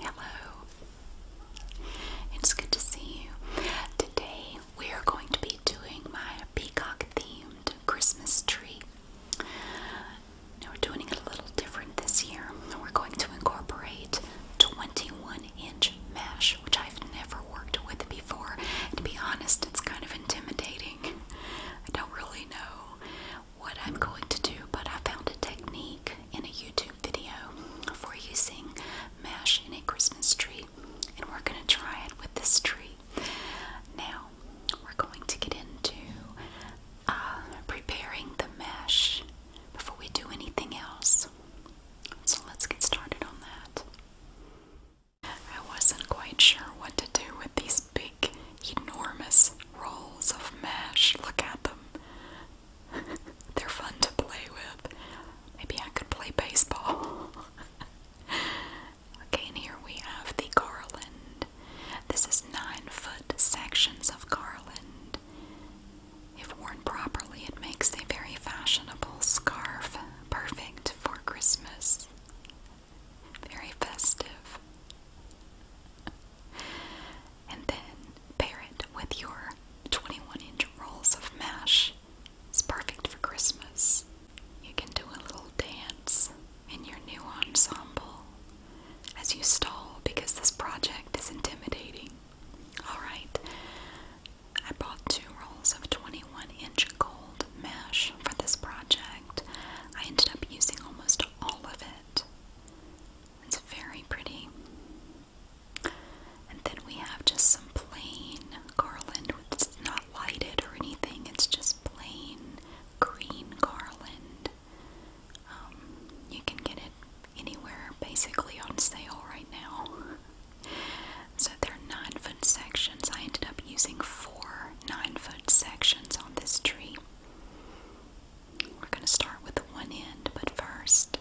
Hello. It's good to see you. Today we are going to be doing my peacock themed Christmas tree. Now we're doing it a little different this year. We're going to incorporate 21 inch mesh, which I've never worked with before. to be honest, it's kind of intimidating. I don't really know what I'm going to do, but I found a technique in a YouTube video for using mesh in a Christmas tree, and we're going to try it with this tree. Now, we're going to get into uh, preparing the mesh before we do anything else. So let's get started on that. I wasn't quite sure what to do with these enormous rolls of mesh. Look at them. They're fun to play with. Maybe I could play baseball. okay, and here we have the garland. This is nine foot sections of garland. If worn properly, it makes a very fashionable scarf, perfect for Christmas. Very festive. And then pair it with your 21 inch rolls of mash. It's perfect for Christmas. You can do a little dance in your new ensemble as you stall because this project is intimidating. Alright, I bought two rolls of 21 inch gold mash for this project. I ended up using almost all of it. It's very pretty. And then we have just some plain garland. It's not lighted or anything, it's just plain green garland. Um, you can get it anywhere basically on sale right now. So they're nine foot sections. I ended up using four nine foot sections on this tree. We're going to start with the one end, but first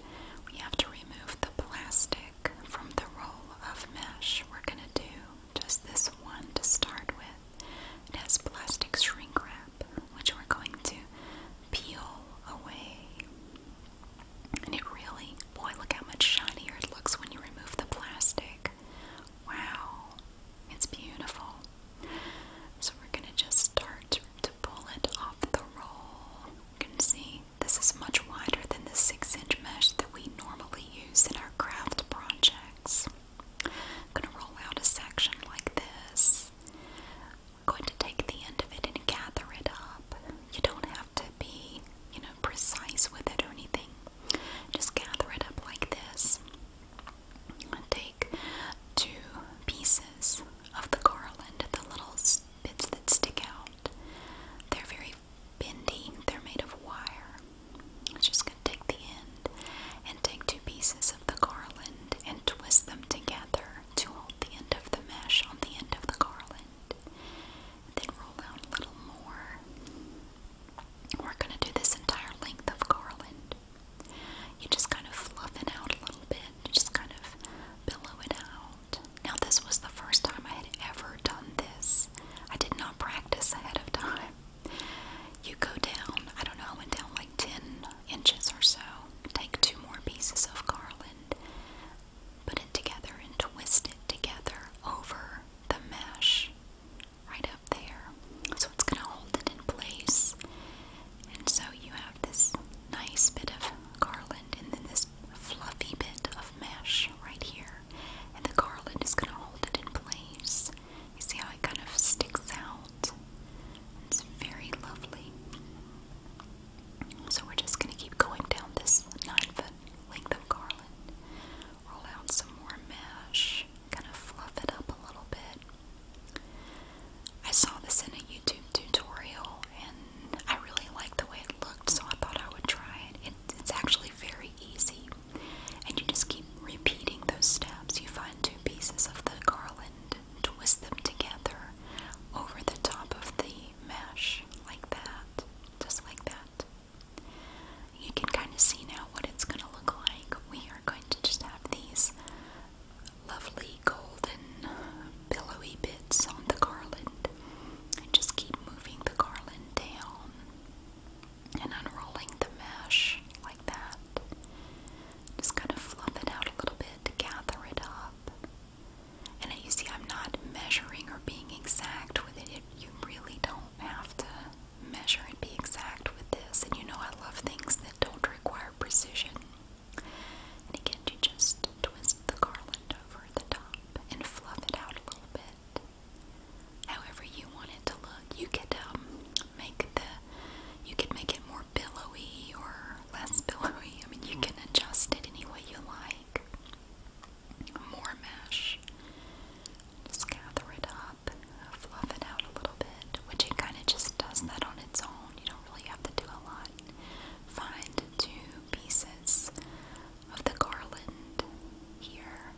we have to remove the plastic from the roll of mesh. We're going to do just this one to start with. It has plastic shrink wrap, which we're going to peel away. And it really, boy, look how much shinier it looks when you remove the plastic. Wow, it's beautiful. So we're going to just start to pull it off the roll. You can see this is much wider than the 6 inch mesh that we normally use in our craft projects. I'm going to roll out a section like this. I'm going to take the end of it and gather it up. You don't have to be, you know, precise with it or anything. Just gather it up like this take two pieces of the garland, the little bits that stick out. They're very bendy, they're made of wire. I'm just going to take the end and take two pieces of the garland and twist them together to hold the end of the mesh on the end of the garland. Then roll out a little more. We're going to do this entire length of garland. You just kind of fluff it out a little bit. You just kind of billow it out. Now, this was the first time I had ever done this. I did not practice ahead of time. You go down, I don't know, I went down like 10 inches or so. Take two more pieces of garland, put it together, and twist it together over the mesh right up there. So it's going to hold it in place. And so you have this nice bit of garland and then this fluffy bit of mesh right here. And the garland is going to hold it in place. You see how it kind of sticks out? It's very lovely. So we're just going to keep going down this nine foot length of garland. Roll out some more mesh kind of fluff it up a little bit. I saw this in a YouTube tutorial and I really liked the way it looked, so I thought I would try it. it's actually very easy, and you just keep repeating those steps. You find two pieces of the garland, twist them together over the top of the mesh, like that, just like that you can kind of see now what it's going to look like. We are going to just have these lovely golden billowy bits on the garland and just keep moving the garland down and unrolling the mesh like that. Just kind of fluff it out a little bit to gather it up. And you see, I'm not measuring or being exact with it. You really don't have to measure and be exact with this. And you know, I love things that don't require precision. And again, you just twist the garland over the top and fluff it out a little bit. However you want it to look, you can um, make the you could make it more billowy or less billowy. I mean, you hmm. can adjust it any way you like. More mesh. gather it fluff it out a little bit, which it kind of just does that on its own. You don't really have to do a lot. Find two pieces of the garland here,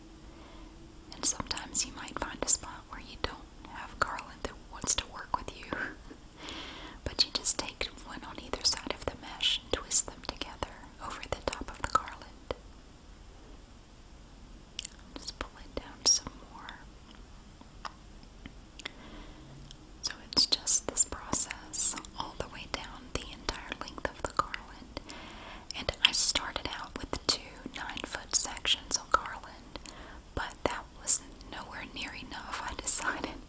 and sometimes you might find a spot where you don't have garland that wants to work with you, but you just take one on either side of the mesh and twist them together over the top of the garland just pull down some more. So it's just this process all the way down the entire length of the garland. And I started out with two nine foot sections of garland, but that was nowhere near enough. I decided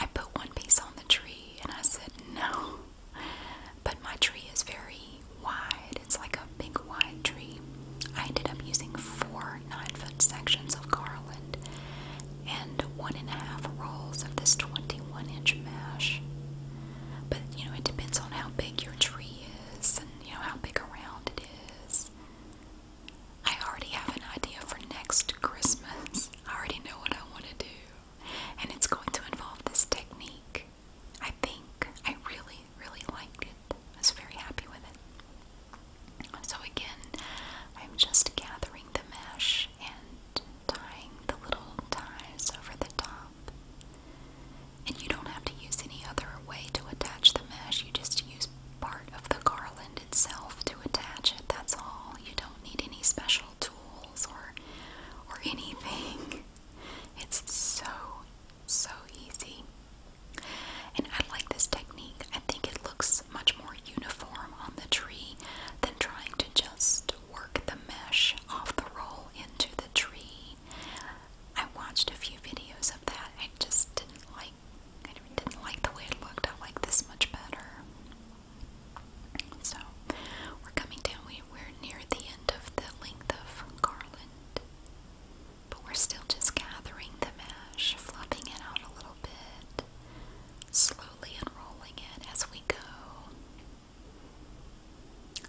I put one piece on the tree and I said no. But my tree is very wide. It's like a big wide tree. I ended up using four nine foot sections of garland and one and a half rolls of this 21 inch mesh. But you know, it depends on how big your tree is and you know how big around it is. I already have an idea for next Christmas. I already know what I want to do, and it's going to involve this technique. I think I really, really liked it. I was very happy with it. So again, I'm just gathering the mesh and tying the little ties over the top. And you don't have to use any other way to attach the mesh. You just use part of the garland itself to attach it. That's all. You don't need any special tools or or anything. It's so so easy. And I like this technique. I think it looks much more uniform on the tree than trying to just work the mesh off the roll into the tree. I watched a few videos of that. I just didn't like I didn't like the way it looked. I like this much better. So we're coming down. We, are near the end of the length of garland. But we're still just gathering the mesh, fluffing it out a little bit, slowly unrolling it as we go.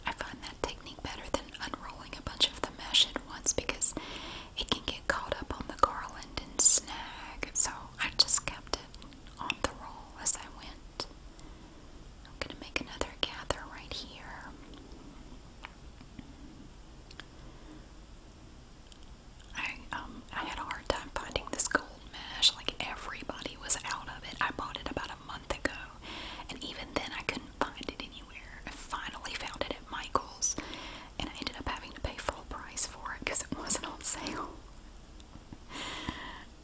I find that technique better than unrolling a bunch of the mesh at once because it can get caught up on the garland and snag. So I just kept it on the roll as I went. going to make another gather right here. I um I had a hard time finding this gold mesh. Like everybody was out of it. I bought it about a month ago, and even then I couldn't find it anywhere. I finally found it at Michael's, and I ended up having to pay full price for it because it wasn't on sale.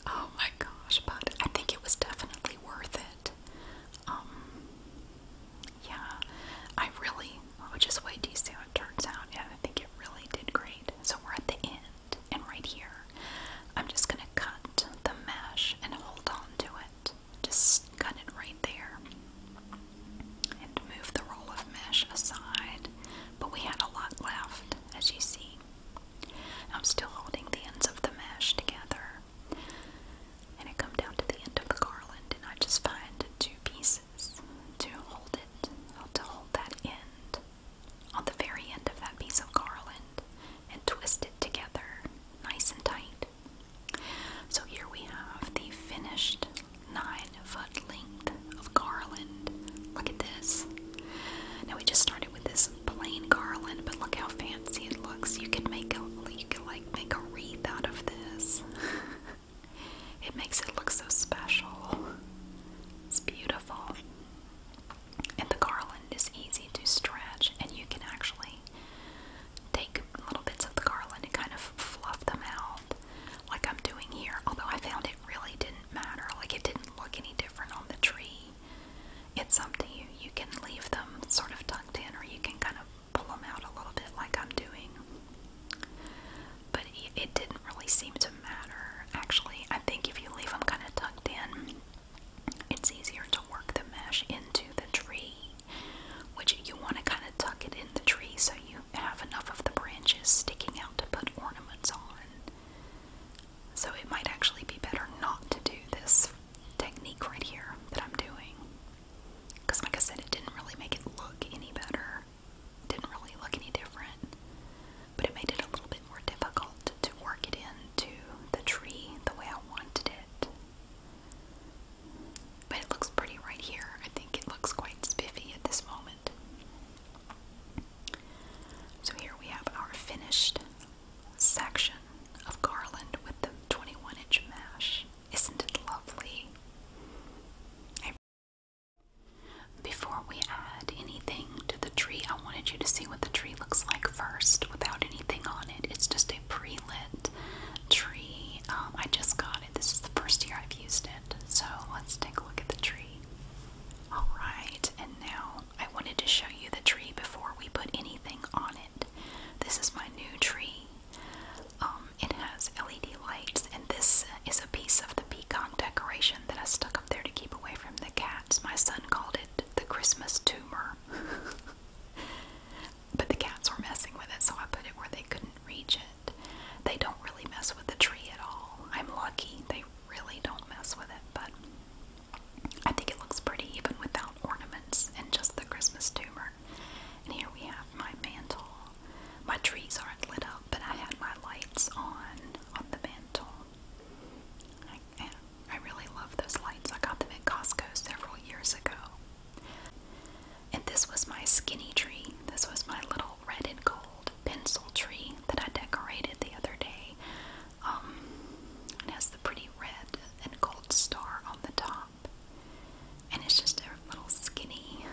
oh my gosh! But I think it was definitely worth it. Um, yeah, I really will just wait to see how it turns out. Yeah, I think it really did great. So we're at the end, and right here, I'm just gonna cut the mesh and hold on to it. Just cut it right there, and move the roll of mesh aside. But we had a lot left, as you see. I'm still holding the ends of the mesh together and I come down to the end of the garland and I just find two pieces to hold it, to hold that end on the very end of that piece of garland and twist it together nice and tight. So here we have the finished nine foot length of garland. Look at this. Now we just started with this plain garland, but look how fancy it looks. You can make a you like make a wreath out of this. it makes it look so special. It's beautiful. And the garland is easy to stretch, and you can actually take little bits of the garland and kind of fluff them out, like I'm doing here. Although I found it really didn't matter, like it didn't look any different on the tree. It's up to you. You can leave them sort of tucked in, or you can kind of pull them out a little bit like I'm doing. But it didn't really seem to matter. Actually, I think if you leave them kind of tucked in, it's easier to work the mesh into the tree, which you want to kind of tuck it in the tree so you have enough of the branches sticking out to put ornaments on. So it might actually be better not to do this technique right here that I'm doing. Because, like I said, it didn't really make it look any better. It didn't really look any different. But it made it a little bit more difficult to, to work it into the tree the way I wanted it. But it looks pretty right here. I think it looks quite spiffy at this moment. So here we have our finished section of garland with the 21 inch mesh. Isn't it lovely? I Before we add anything to the tree, I wanted you to see what the tree looks like first without anything on it. It's just a pre lit tree. Um, I just got it. This is the first year I've used it. So let's take a look at the tree. Alright, and now I wanted to show you the tree before we put anything on it. This is my new tree. Um, it has LED lights, and this is a piece of the peacock decoration that I stuck up there to keep away from the cats. My son called it the Christmas tumor. but the cats were messing with it, so I put it where they couldn't reach it. They don't really mess with the tree at all. I'm lucky. They really don't mess with it, but I think it looks pretty even without ornaments and just the Christmas tumor. And here we have my mantle. My trees aren't lit up, but I had my lights on on the mantle. I, I really love those lights. I got them at Costco several years ago. And this was my skinny tree. This was my little red and gold pencil tree that I decorated the other day. Um, it has the pretty red and gold star on the top. And it's just a little skinny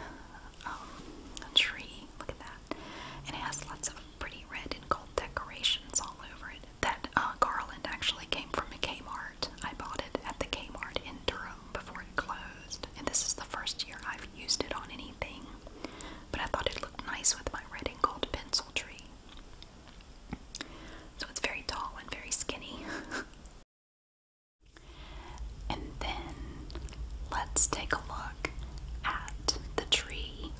um, tree. Look at that. And it has lots of pretty red and gold decorations all over it. That uh, garland actually came from a Kmart. I bought it at the Kmart in Durham before it closed. And this is the first year I've used it on anything. But I thought it looked nice with my red and gold pencil tree. So it's very tall and very skinny. And then let's take a look at the tree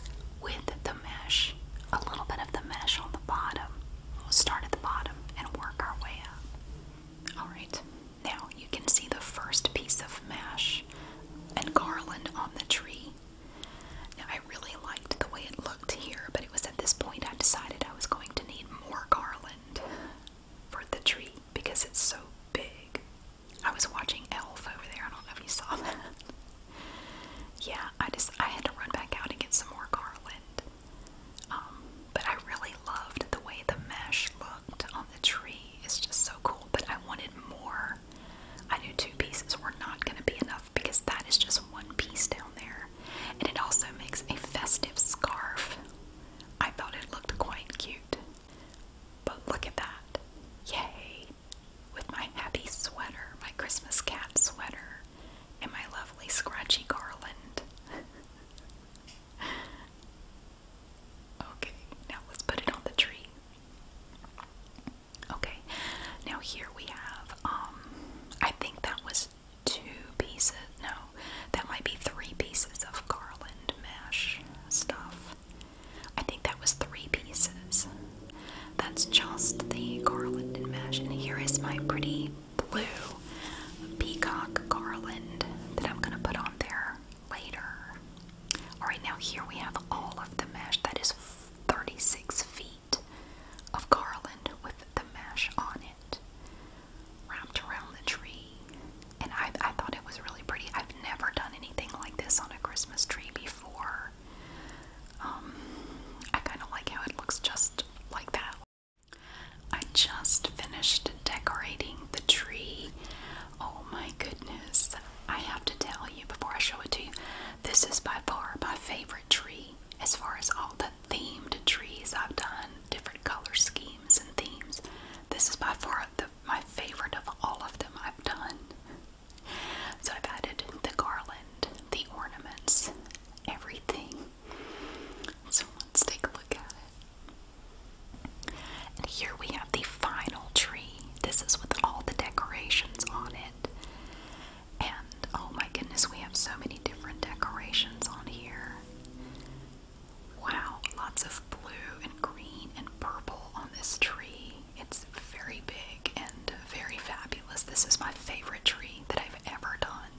with the mesh, a little bit of the mesh on the bottom. We'll start at the bottom and work our way up. Alright, now you can see the first piece of mesh and garland on the tree. Now I really liked the way it looked here but was at this point I decided I was going to need more garland for the tree because it's so big. I was watching Elf over there. I don't know if you saw that. yeah, I just I had to run back out and get some more garland. Um, but I really loved the way the mesh looked on the tree. It's just so cool. But I wanted more. I knew two pieces were not going to be enough because that is just one piece down there and it also makes a festive scarf. I thought it looked quite cute. But look at that. Yay! With my happy sweater, my Christmas cat sweater, and my lovely scratchy garland. okay, now let's put it on the tree. Okay, now here we have, um, I think that was two pieces, no, that might be three pieces of garland mesh stuff. I think that was three pieces. That's just the garland and mesh. And here is my pretty blue peacock garland that I'm going to put on there later. Alright, now here we have all of the mesh. That is 36 feet of garland with the mesh on it wrapped around the tree. And I, thought it was really pretty. I've never done anything like this on a Christmas tree before. Um, I kind of like how it looks just like that. I just finished decorating the tree. Oh my goodness. I have to tell you before I show it to you, this is by far my favorite tree as far as all the themed trees I've done, different color schemes and themes. This is by far my favorite of all of them I've done. So I've added the garland, the ornaments, everything. So let's take a look at it. And here we have the final tree. This is with all the decorations on it. And oh my goodness, we have so many different decorations on here. Wow, lots of blue and green and purple on this tree. It's very big and very fabulous. This is my favorite tree that I've ever done.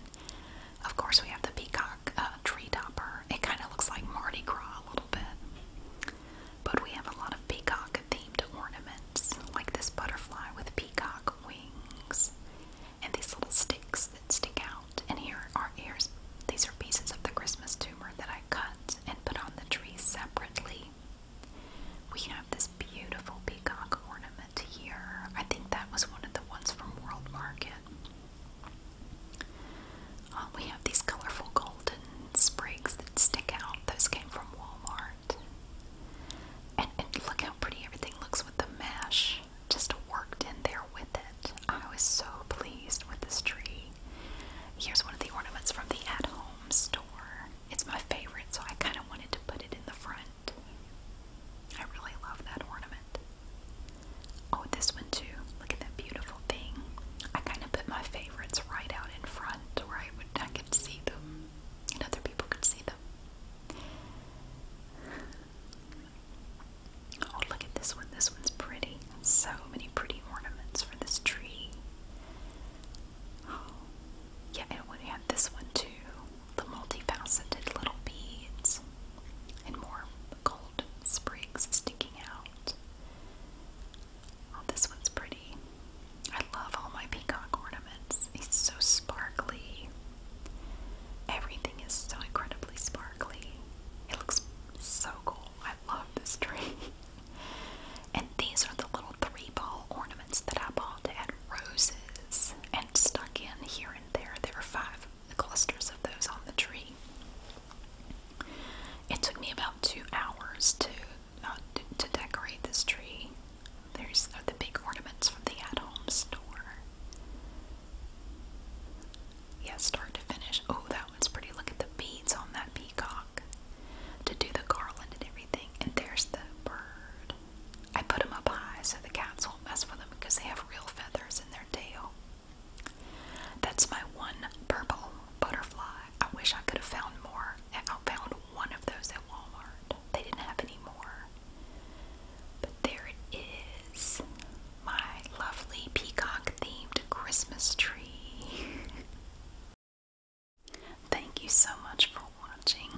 Of course, we have the peacock uh, tree topper. It kind of looks like Mardi Gras a little bit. But we have a lot of peacock themed ornaments, like this butterfly with peacock wings and these little sticks that stick out. And here are ears. These are pieces of the Christmas tumor that I cut and put on the tree separately. We have this beautiful peacock ornament here. I think that was one of the ones from World Market. Uh, we have these colorful golden sprigs that stick out. Those came from Walmart. And, and look how pretty everything looks with the mesh just worked in there with it. I was so pleased with this tree. Here's one of the ornaments from the at home store. It's my favorite, so I kind of wanted to put it in the front. I really love that ornament. Oh, this one too. Look at that beautiful thing. I kind of put my favorites right out in front where I, would, I could see them and other people could see them. Oh, look at this one. This one's pretty. So many pretty ornaments for this tree. Oh, yeah, and we have this one too. The multifaceted little beads and more gold sprigs sticking out. Oh, this one's pretty. I love all my peacock ornaments. He's so sparkly. Everything is so incredibly sparkly. It looks so cool. I love this tree. and these are the little three ball ornaments that I bought to roses and stuck in here and there. There are five clusters of those on the tree. It took me about two hours to uh, to decorate this tree. There's uh, the big ornaments from the at-home store. Yeah, start to finish. Oh, that one's pretty. Look at the beads on that peacock to do the garland and everything. And there's the bird. I put them up high so the cats won't mess with them because they have real feathers in their tail. That's my one purple butterfly. I wish I could have found more. I found one of those at Walmart. They didn't have any more. But there it is my lovely peacock themed Christmas tree. Thank you so much for watching.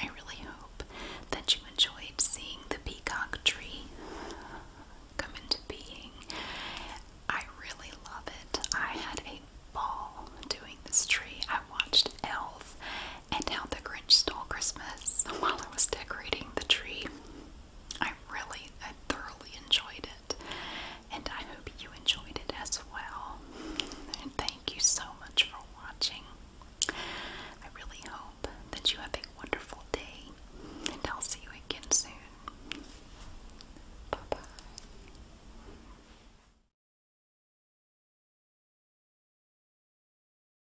I really hope that you enjoyed seeing the peacock tree come into being. I really love it. I had a ball doing this tree. I watched Elf and how the Grinch stole Christmas while I was decorating the tree. I really, I thoroughly enjoyed it, and I hope you enjoyed it as well. And thank you so much for watching. I really hope that you have a wonderful day, and I'll see you again soon. Bye bye.